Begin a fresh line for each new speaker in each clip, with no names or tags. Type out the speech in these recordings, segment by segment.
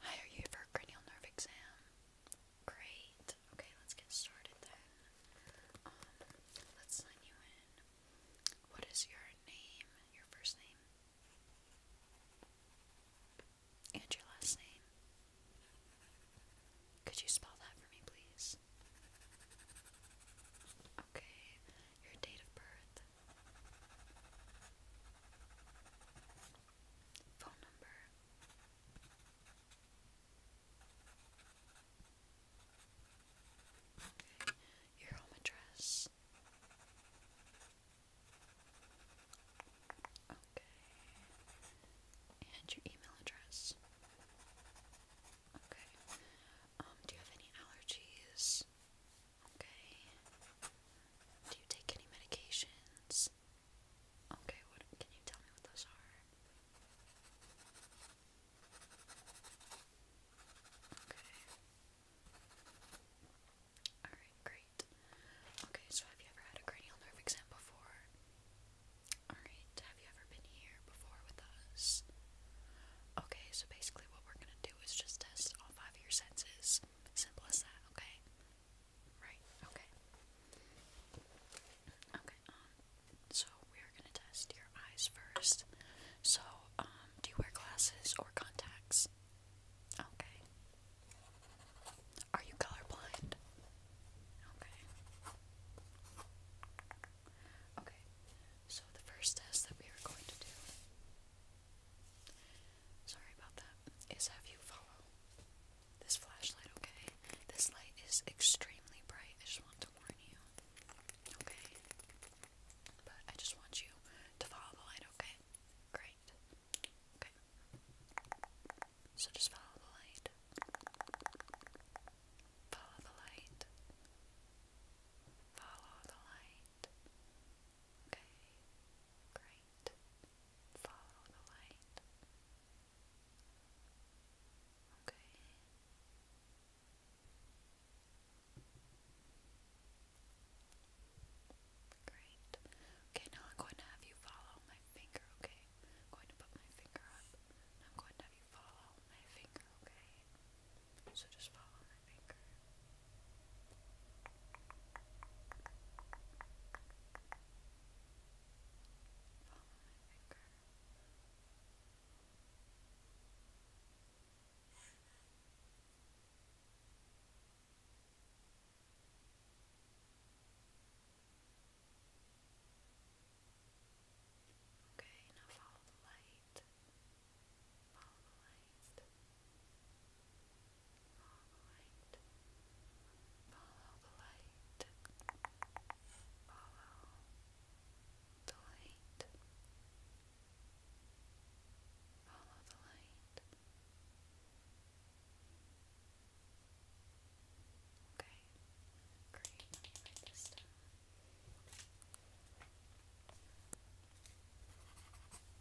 Hi, are you for cranial nerve exam. Great. Okay, let's get started then. Um, let's sign you in. What is your name? Your first name? And your last name? Could you spell that for me, please? Okay, your date of birth phone number. Your home address. Okay. And your email address. Okay. Um, do you have any allergies? Okay. Do you take any medications? Okay, what can you tell me what those are? Okay. Alright, great. Okay, so have you ever had a cranial nerve exam before? Alright, have you ever been here before with us? Okay, so basically what we're gonna do is just test all five of your senses. Simple as that, okay? Right, okay. Okay, um, so we're gonna test your eyes first. So, um, do you wear glasses or contacts? Okay. Are you colorblind? Okay. Okay, so the first test that we are going to do. Sorry about that is have you follow this flashlight, okay? This light is extremely bright. I just want to warn you, okay? But I just want you to follow the light, okay? Great. Okay. So just follow the light. Follow the light. Follow the light. Okay, great. Follow the light. Okay. Great. Okay, now I'm going to have you follow my finger, okay? I'm going to put my finger up I'm going to have you follow my finger, okay? So just follow my finger. Okay, now follow the light. Follow the light. Alright. Follow the light. Follow the light. Follow the light. Okay. Great. Let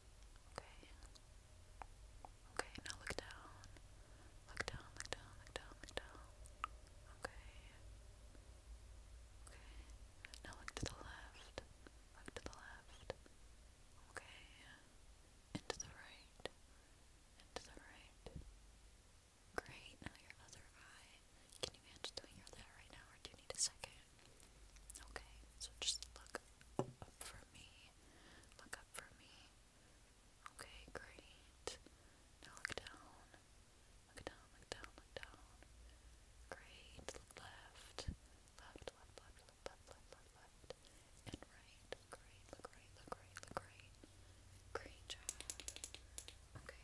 Okay. Okay, now look down. Look down, look down, look down, look down. Okay. Okay. Now look to the left. Look to the left. Okay. Into the right. Into the right. Great. Now your other eye. Can you manage doing your other eye right now or do you need a second? Okay, so just look up for me. Look up for me. Okay, great. Now look down. Look down, look down, look down. Great. Look left. Left, left, left, left, left, left, left, And right. Great. Look right, look right, look right. Great job. Okay.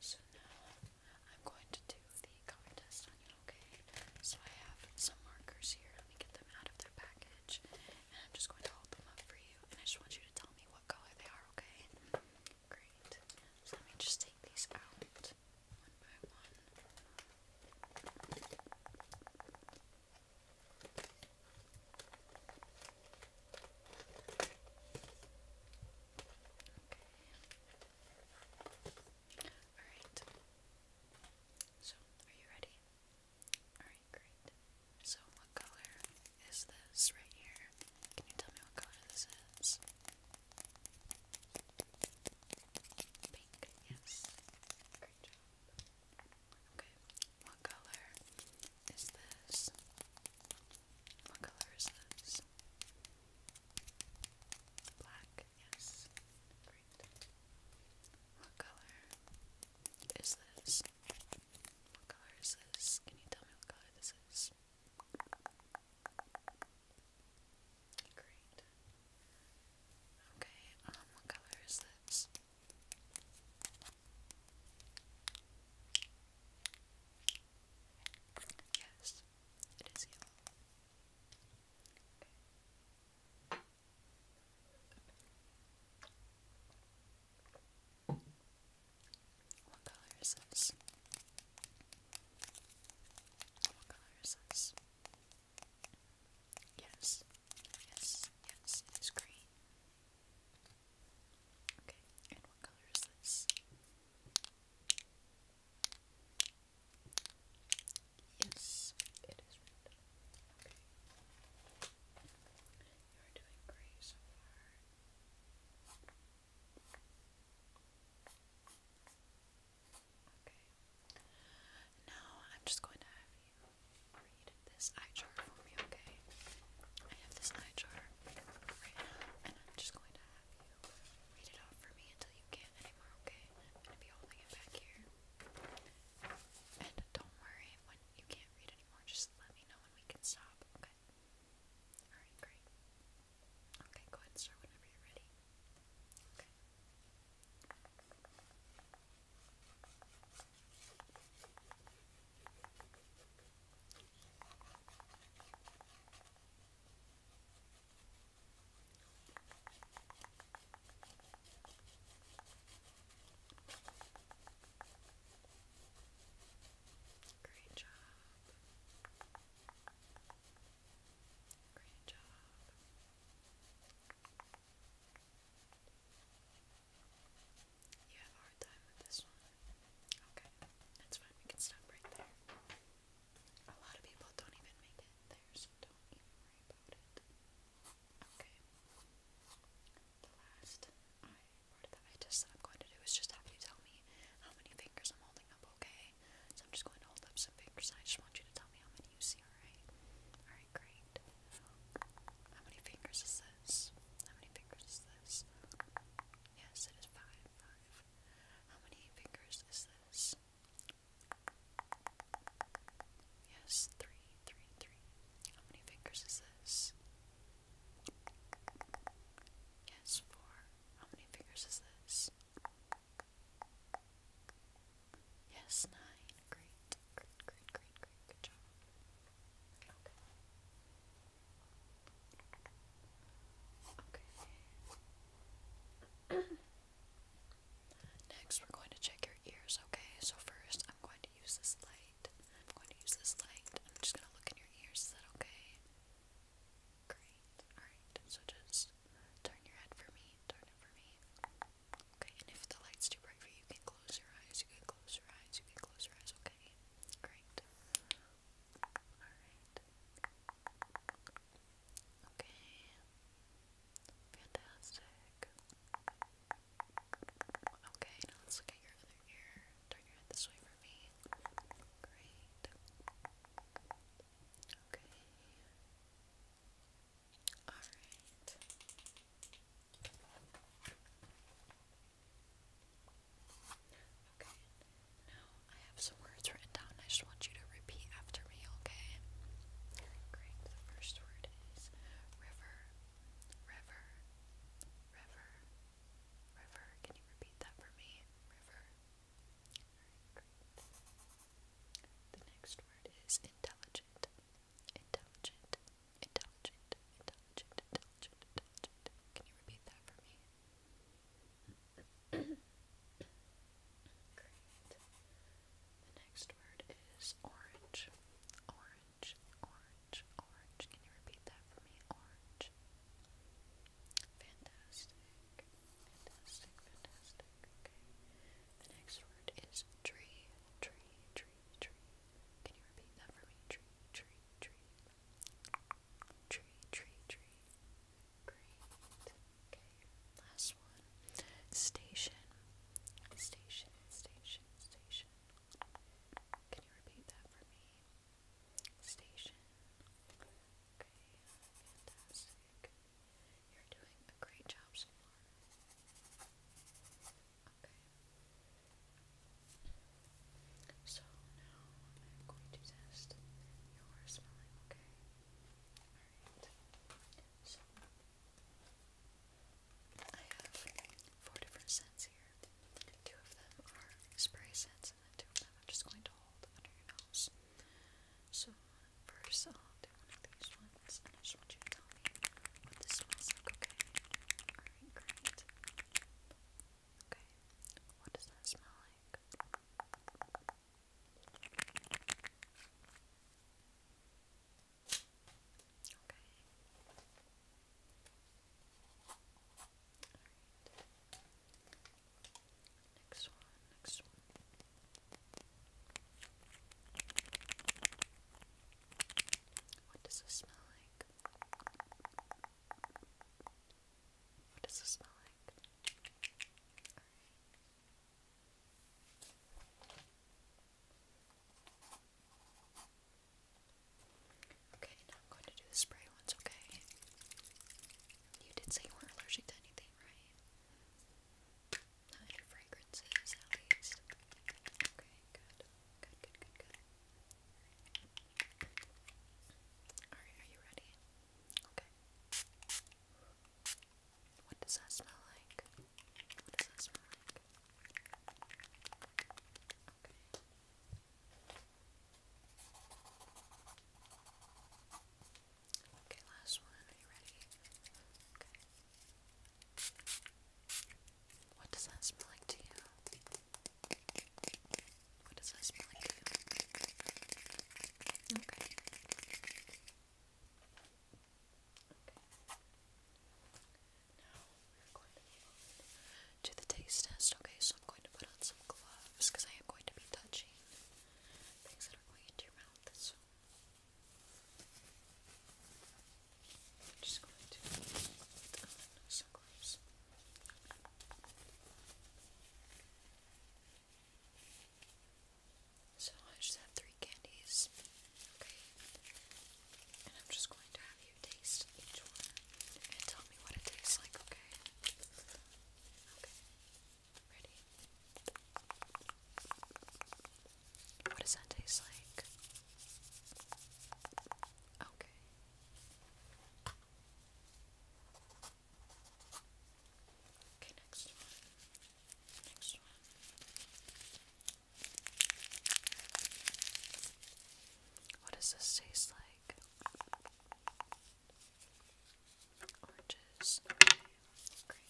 So now I'm going to do the color test on you, okay? So I have some markers here. Let me get them out of their package. And I'm just going to hold them up for you. And I just want you to tell me what color they are, okay? Great. So let me just take these out one by one. Alright. So, are you ready? Alright, great. So, what color is this right here? Can you tell me what color this is? Pink, yes. Great job. Okay, what color is this? What color is this? Black, yes. Great. What color is this? What color is this? Can you tell me what color this is? Great. Okay, um, what color is this? Yes, it is yellow. What color is this? What color is this? Yes, Yes, yes, it is green. Okay, and what color is this? Yes, it is red. Okay. You're doing great so far. Okay. Now I'm just going to have you read this eye chart for me, okay? I have this eye chart right now, and I'm just going to have you read it off for me until you can't anymore, okay? I'm be holding it back here. And don't worry, when you can't read anymore, just let me know and we can stop, okay? Alright, great. Okay, go ahead and start whenever you're ready. Okay. Great job. Great job. Okay, that's fine. We can stop right there. A lot of people don't even make it there, so don't even worry about it. Okay. The last I that I just am going to do is just have you tell me how many fingers I'm holding up, okay? So I'm just going to hold up some fingers I just want you to tell me how many you see right? Alright, great. How many fingers is this? How many fingers is this? Yes, it is five, five. How many fingers is this? Yes, three, three, three. How many fingers is this? Yes, four. How many fingers is this? Yes, nine. Great. Great, great, great, great. Good job. Okay. Next, we're going to check your ears, okay? So, first, I'm going to use this light. I'm going to use this light. I'm just going to look in your ears. Is that okay? Great. Alright, so just turn your head for me. Turn it for me. Okay, and if the light's too bright for you, you can close your eyes, you can close your eyes, you can close your eyes, okay? Great. Alright. Okay. Fantastic. Okay, now let's look at your other ear. Turn your head this way for me. Great. Okay. Alright. Okay. Now I have some words written down. I just want you to repeat after me, okay? Great. The first word is river, river, river, river. Can you repeat that for me? River. Alright, great. The next word is intelligent, Intelligent, intelligent, intelligent, intelligent, intelligent. Can you repeat that for me? Great. The next word is orange. Orange, orange, orange. Can you repeat that for me? Orange. Fantastic. Fantastic, fantastic. Okay. The next word is tree. Tree, tree, tree, Can you repeat that for me? Tree, tree, tree. Tree, tree, tree. Great. Okay, last one. Station. Station, station, station. Can you repeat that for me? Station. Okay, uh, fantastic. You're doing a great job so far. Okay. So now I'm going to test your smelling, okay? Alright. So I have four different scents here. Two of them are spray scents and then two of them I'm just going to hold under your nose. So First, I'll do one of these ones, and I just want you to tell me what this smells like, okay? Alright, great. Okay, what does that smell like? Okay. Alright. Next one, next one. What does this smell like? What does this smell like? Okay, now I'm going to do the spray ones, okay? You did say you were allergic to anything, right? Not fragrances, Okay, good. Good, good, good, good. are you ready? Okay. What does that smell like? What does that smell like? Okay, last one. Are you ready? Okay. What does that smell like to you? What does that smell like to you? Okay. Okay. Now we're going to move the taste test. Okay, so I'm going to put on some gloves because I am going to be touching things that are going into your mouth. I'm just going to So I just have three candies, okay? And I'm just going to have you taste each one and tell me what it tastes like, Okay. Pretty. What does that taste like? Okay. Okay, next one. Next one. What does this taste like? Oranges. Okay. Great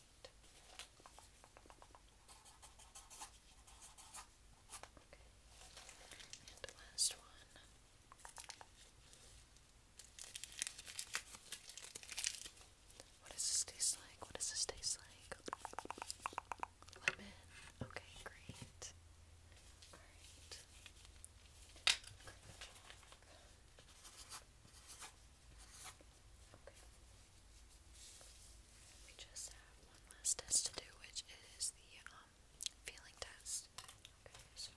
last one. What does this taste like? What does this taste like? Lemon. Okay, great. Alright. We just have one last test to do, which is the um, feeling test. Okay, so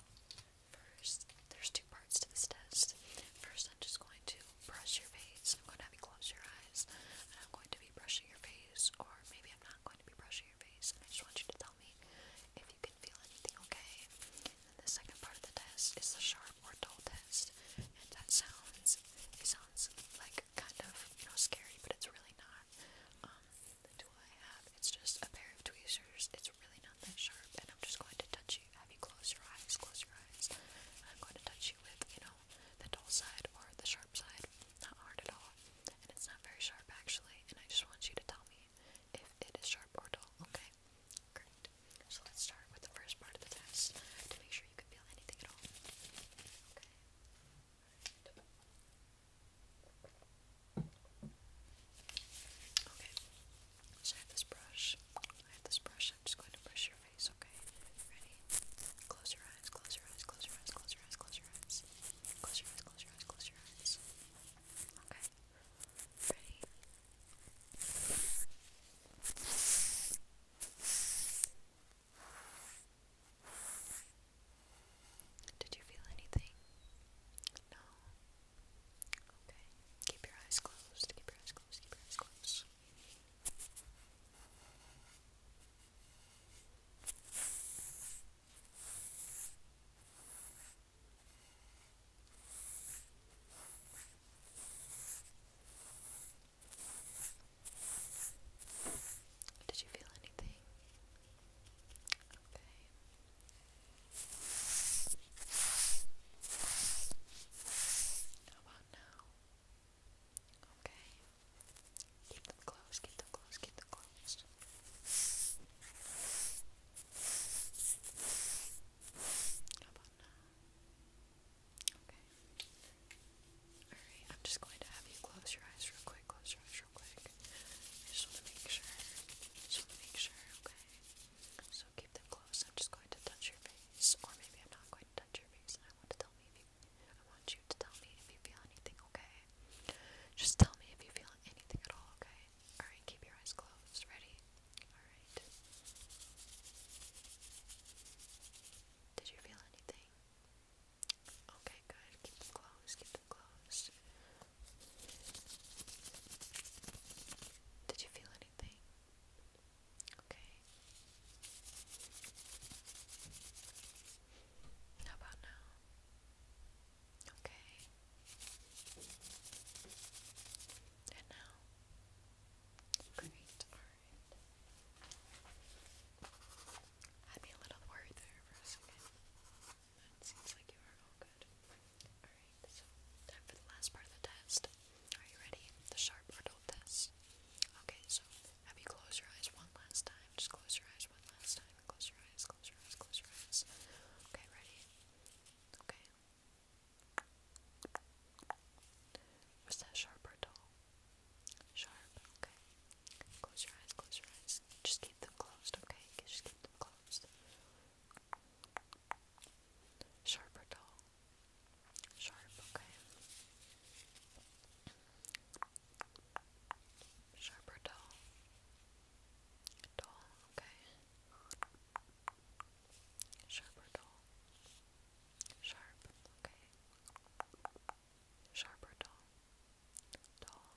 first, there's two parts to this test. First, I'm just going to brush your face. I'm going to have you close your eyes, and I'm going to be brushing your face, or maybe I'm not going to be brushing your face. And I just want you to tell me if you can feel anything, okay? the second part of the test is the sharp or doll test, and that sounds it sounds like kind of you know scary, but it's really not. Um, the tool I have, it's just a pair of tweezers. It's really not that sharp, and I'm just going to touch you. Have you close your eyes? Close your eyes. And I'm going to touch you with you know the dull side or the sharp side. Not hard at all, and it's not very sharp actually. And I just want you to tell me if it is sharp or dull. Okay. Great. So let's start with the first part of the test to make sure you can feel anything at all. Okay. Okay. So I have this brush. I have this brush. I'm just going to brush your face, okay? Ready? Close your eyes, close your eyes, close your eyes, close your eyes, close your eyes. Close your eyes, close your eyes, close your eyes. Okay. Ready? Did you feel anything? No. Okay. Keep your eyes closed. Keep your eyes closed. Keep your eyes closed. Did you feel anything? Okay. How about now? Okay. Keep them close, keep them close, keep them close. How about now? Okay. Alright, I'm just going to have you close your eyes real quick, close your eyes real quick. I just want to make sure. Just want to make sure, okay? So keep them closed. I'm just going to touch your face. Or maybe I'm not going to touch your face and I want to tell me if you I want you to tell me if you feel anything, okay? Just tell me if you feel anything at all, okay? Alright, keep your eyes closed. Ready? Alright. Did you feel anything? Okay, good. Keep them closed. Keep them closed. Did you feel anything? Okay. How about now? Okay. And now? Great, alright. Had me a little worried there for a second. That seems like you are all good. Alright, so time for the last part of the test. Are you ready? The sharp adult test. Okay, so have you close your eyes one last time? Just close your eyes one last time. Close your eyes, close your eyes, close your eyes. Okay, ready? Okay, was that sharp or dull? Sharp, okay. Close your eyes, close your eyes. Just keep them closed, okay? Just keep them closed. Sharp or dull? Sharp, okay. Sharp or dull? okay. Sharp or dull? Sharp, okay. Sharp or dull? Dull,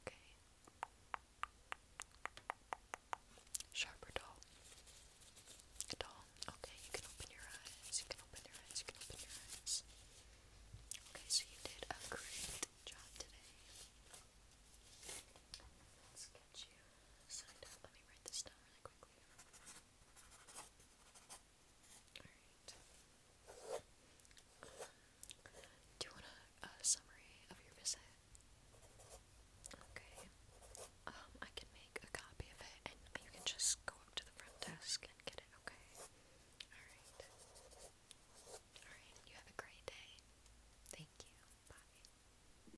okay. Sharp or dull? Dull, okay. You can open your eyes, you can open your eyes, you can open your eyes. Okay, so you did a great job today. Let's get you signed up. Let me write this down do you want a uh, summary of your visit? Okay. Um, I can make a copy of it and you can just go up to the front desk and get it, okay? Alright. Alright, you have a great day. Thank you. Bye.